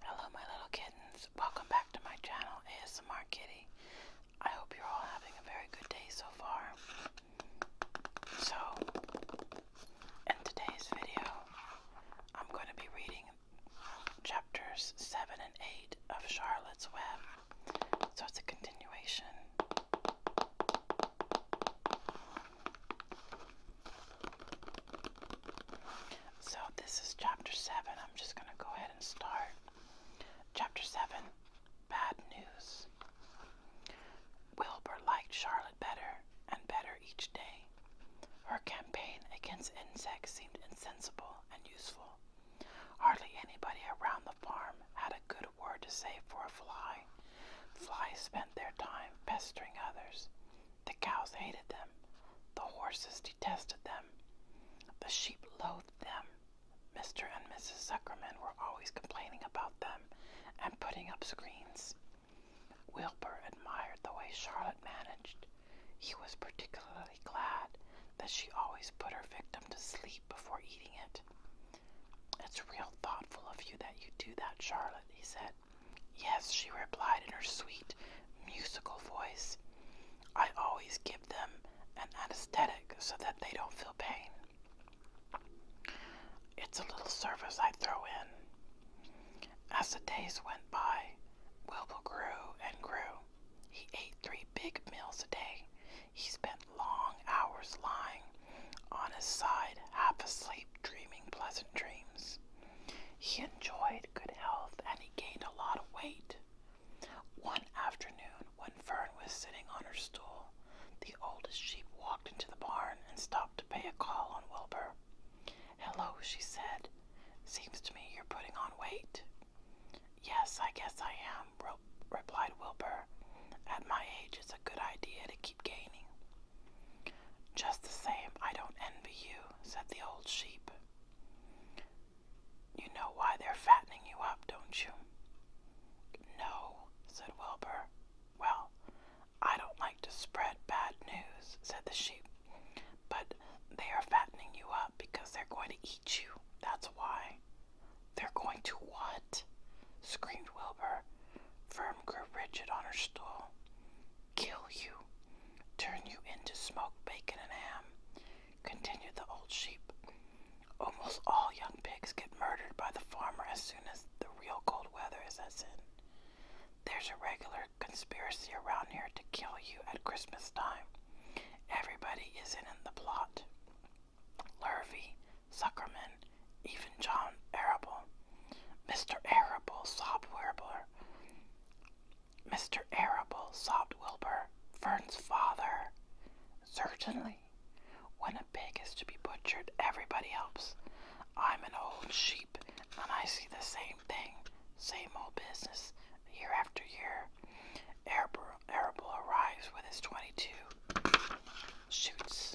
Hello my little kittens. Welcome back to my channel ASMR Kitty. I hope you're all having a very good day so far. So, in today's video, I'm going to be reading chapters 7 and 8 of Charlotte's Web. So it's a continuation. So, this is chapter 7. I'm just going to go ahead and start. Chapter 7 Bad News. Wilbur liked Charlotte better and better each day. Her campaign against insects seemed insensible and useful. Hardly anybody around the farm had a good word to say for a fly. Flies spent their time pestering others. The cows hated them, the horses detested them, the sheep loathed them. Mr. and Mrs. Zuckerman were always complaining about them and putting up screens. Wilbur admired the way Charlotte managed. He was particularly glad that she always put her victim to sleep before eating it. It's real thoughtful of you that you do that, Charlotte, he said. Yes, she replied in her sweet, musical voice. I always give them an anesthetic so that they don't feel pain. It's a little service I throw in. As the days went by, Wilbur grew and grew. He ate three big meals a day. He spent long hours lying on his side, half asleep dreaming pleasant dreams. He enjoyed good health and he gained a lot of weight. One afternoon, when Fern was sitting on her stool, the oldest sheep walked into the barn and stopped to pay a call on Wilbur. Hello, she said. Seems to me you're putting on weight. Yes, I guess I am, replied Wilbur. At my age, it's a good idea to keep gaining. Just the same, I don't envy you, said the old sheep. You know why they're fattening you up, don't you? No, said Wilbur. Well, I don't like to spread bad news, said the sheep, but they are fattening you up because they're going to eat you. That's why. They're going to what? screamed Wilbur. Firm grew rigid on her stool kill you, turn you into smoked bacon and ham, continued the old sheep. Almost all young pigs get murdered by the farmer as soon as the real cold weather sets in. There's a regular conspiracy around here to kill you at Christmas time. Everybody is in the plot. Lurvy, Suckerman, even John Arable. Mr. Arable sobbed Wilbur. Mr. Arable sobbed Wilbur, Fern's father. Certainly. When a pig is to be butchered, everybody helps. I'm an old sheep, and I see the same thing, same old business, year after year. Arable, arrives with his 22, shoots,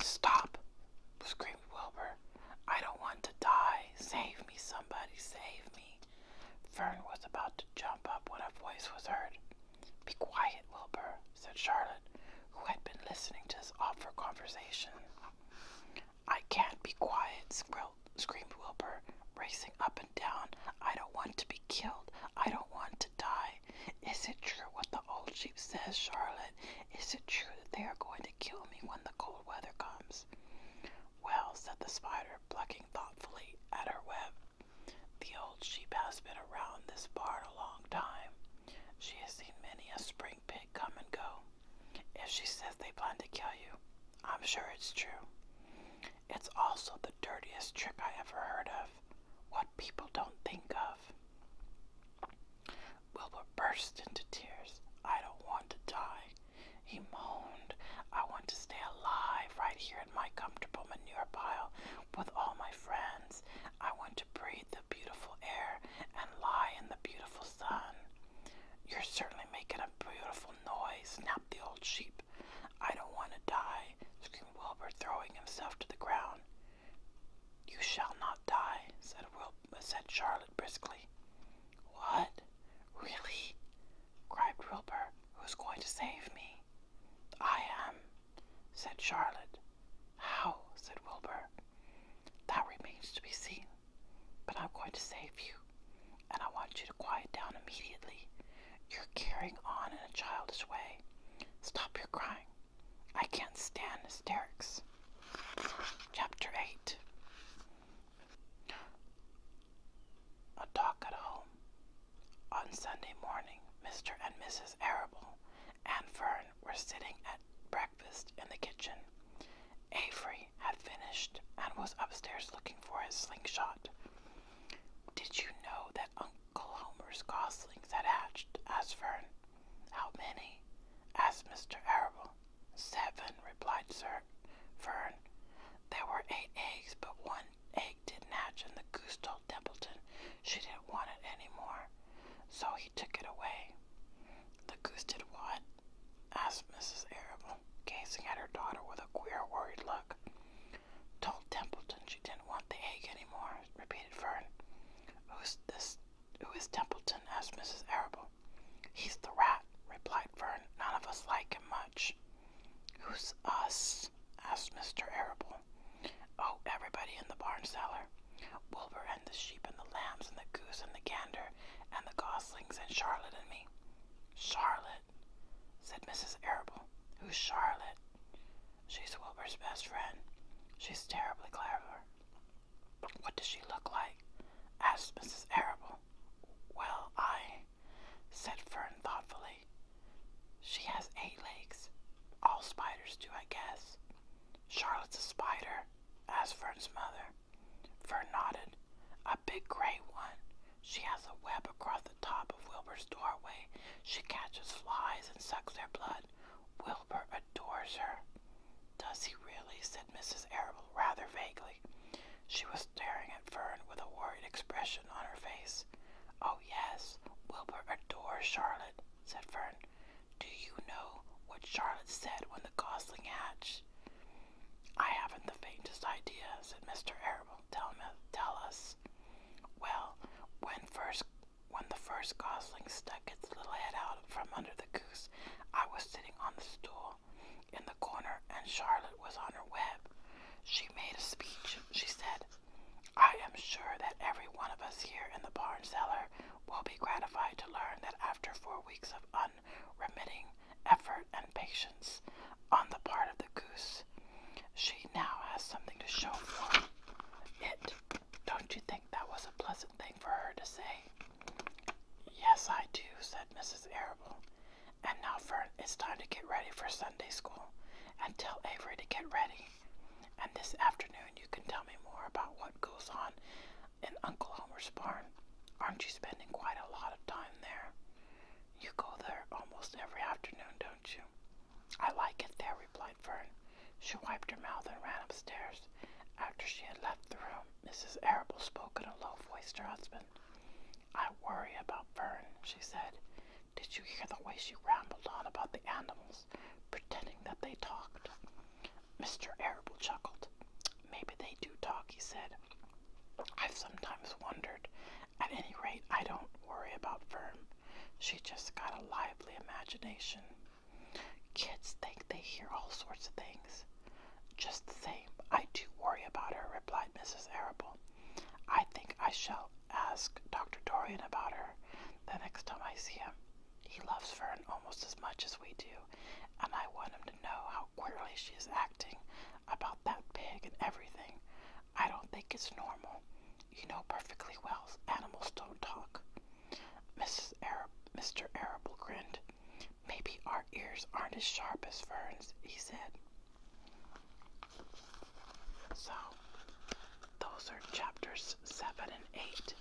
stop, screams. Wilbur. I don't want to die. Save me, somebody, save me. Fern was about to jump up when a voice was heard. Be quiet, Wilbur, said Charlotte, who had been listening to this awful conversation. I can't be quiet, screamed Wilbur, racing up and down. I don't want to be killed. I don't want to die. Is it true what the old sheep says, Charlotte? Is it true that they are going to kill me when the cold weather comes? Well, said the spider, plucking thoughtfully at her web, the old sheep has been around this barn a long time. She has seen many a spring pig come and go. If she says they plan to kill you, I'm sure it's true. It's also the dirtiest trick I ever heard of. What people don't think of. Wilbur burst into tears. I don't want to die, he moaned. I want to stay alive right here in my comfortable manure pile with all my friends. I want to breathe the beautiful air and lie in the beautiful sun. You're certainly making a beautiful noise, snapped the old sheep. I don't want to die, screamed Wilbur, throwing himself to the ground. You shall not die, said said Charlotte briskly. What? Really? cried Wilbur. Who's going to save me? I am, said Charlotte. How? said Wilbur. That remains to be seen. But I'm going to save you, and I want you to quiet down immediately. You're carrying on in a childish way. Stop your crying. I can't stand hysterics. Chapter 8 A Talk at Home. On Sunday morning, Mr. and Mrs. Arable and Fern were sitting at breakfast in the kitchen. Avery had finished and was upstairs looking for his slingshot. Did you know that Uncle Homer's goslings had hatched? asked Fern. How many? asked Mr. Arable. Seven, replied Sir Fern. There were eight eggs, but one egg didn't hatch, and the goose told Templeton she didn't want it any more, so he took it away. The goose did what? asked Mrs. Arable, gazing at her daughter with a queer, worried look. Told Templeton she didn't want the egg any more, repeated Fern. Who's this? Who is Templeton? asked Mrs. Arable. He's the rat, replied Vern. None of us like him much. Who's us? asked Mr. Arable. Oh, everybody in the barn cellar. Wilbur and the sheep and the lambs and the goose and the gander and the goslings and Charlotte and me. Charlotte, said Mrs. Arable. Who's Charlotte? She's Wilbur's best friend. She's terribly clever. What does she look like? asked Mrs. Arable. Well, I, said Fern thoughtfully. She has eight legs. All spiders do, I guess. Charlotte's a spider, asked Fern's mother. Fern nodded. A big gray one. She has a web across the top of Wilbur's doorway. She catches flies and sucks their blood. Wilbur adores her. Does he really? said Mrs. Arable rather vaguely. She was staring at Fern with a worried expression on her face. Oh, yes, Wilbur adores Charlotte, said Fern. Do you know what Charlotte said when the gosling hatched? I haven't the faintest idea, said Mr. Arable. Tell, me, tell us. Well, when first when the first gosling stuck its little head out from under the coop. I was sitting on the stool in the corner and Charlotte was on her web. She made a speech. She said, I am sure that every one of us here in the barn cellar will be gratified to learn that after four weeks of unremitting effort and patience on the part of the goose, she now has something to show for it. Don't you think that was a pleasant thing for her to say? Yes, I do, said Mrs. Arable. And now, Fern, it's time to get ready for Sunday school. And tell Avery to get ready. And this afternoon, you can tell me more about what goes on in Uncle Homer's barn. Aren't you spending quite a lot of time there? You go there almost every afternoon, don't you? I like it there, replied Fern. She wiped her mouth and ran upstairs. After she had left the room, Mrs. Arable spoke in a low voice to her husband. I worry about Fern, she said. Did you hear the way she rambled on about the animals, pretending that they talked? Mr. Arable chuckled. Maybe they do talk, he said. I've sometimes wondered. At any rate, I don't worry about Fern. She just got a lively imagination. Kids think they hear all sorts of things. Just the same, I do worry about her, replied Mrs. Arable. I think I shall ask Dr. Dorian about her the next time I see him. He loves Fern almost as much as we do, and I want him to know how queerly she is acting about that pig and everything. I don't think it's normal. You know perfectly well animals don't talk. Mrs. Arab, Mr. Arable grinned. Maybe our ears aren't as sharp as Fern's, he said. So, those are chapters 7 and 8.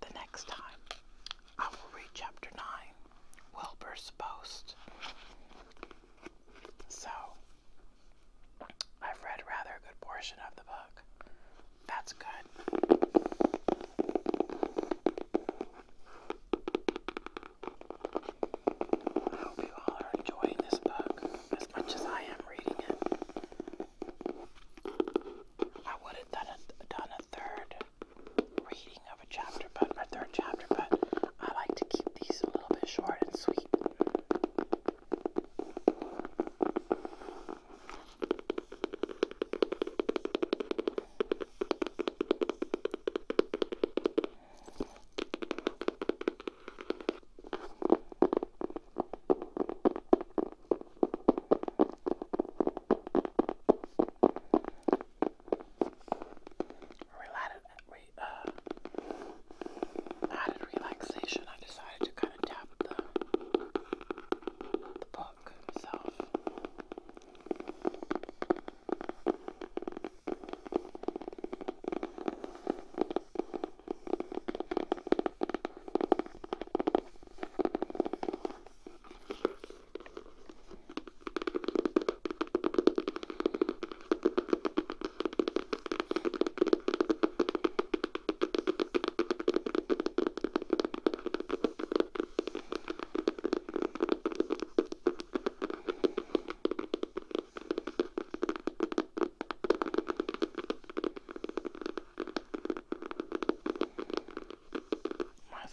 The next time, I will read chapter 9, Wilbur's Post. So, I've read rather good portion of the book. That's good. I hope you all are enjoying this book as much as I am reading it. I would have done done a third reading of a chapter, but a third chapter, but I like to keep these a little bit short and sweet. Related, uh, added relaxation. I decided to kind of tap the the bowl book itself. Reminds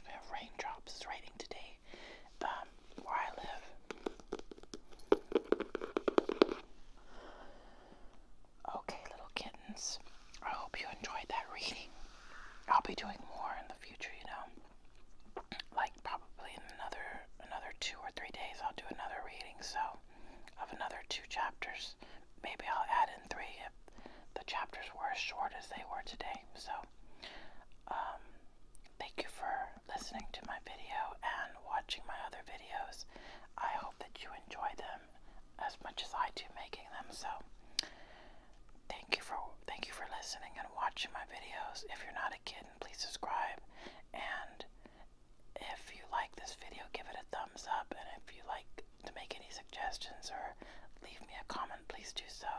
me of raindrops. It's raining today um, where I live. Okay, little kittens, I hope you enjoyed that reading. I'll be doing more in the future, you know. Like probably in another another two or three days, I'll do another reading. So of another two chapters, maybe I'll add in three if the chapters were as short as they were today. So um, thank you for listening to my video and watching my other videos. I hope that you enjoy them as much as I do making them. So thank you for thank you for listening and watching my videos. If you're not a kitten, please subscribe. And if you like this video, give it a thumbs up. And if you like to make any suggestions or leave me a comment, please do so.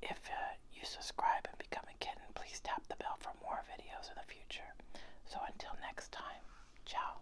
If uh, you subscribe and become a kitten, please tap the bell for more videos in the future. So until next time, ciao.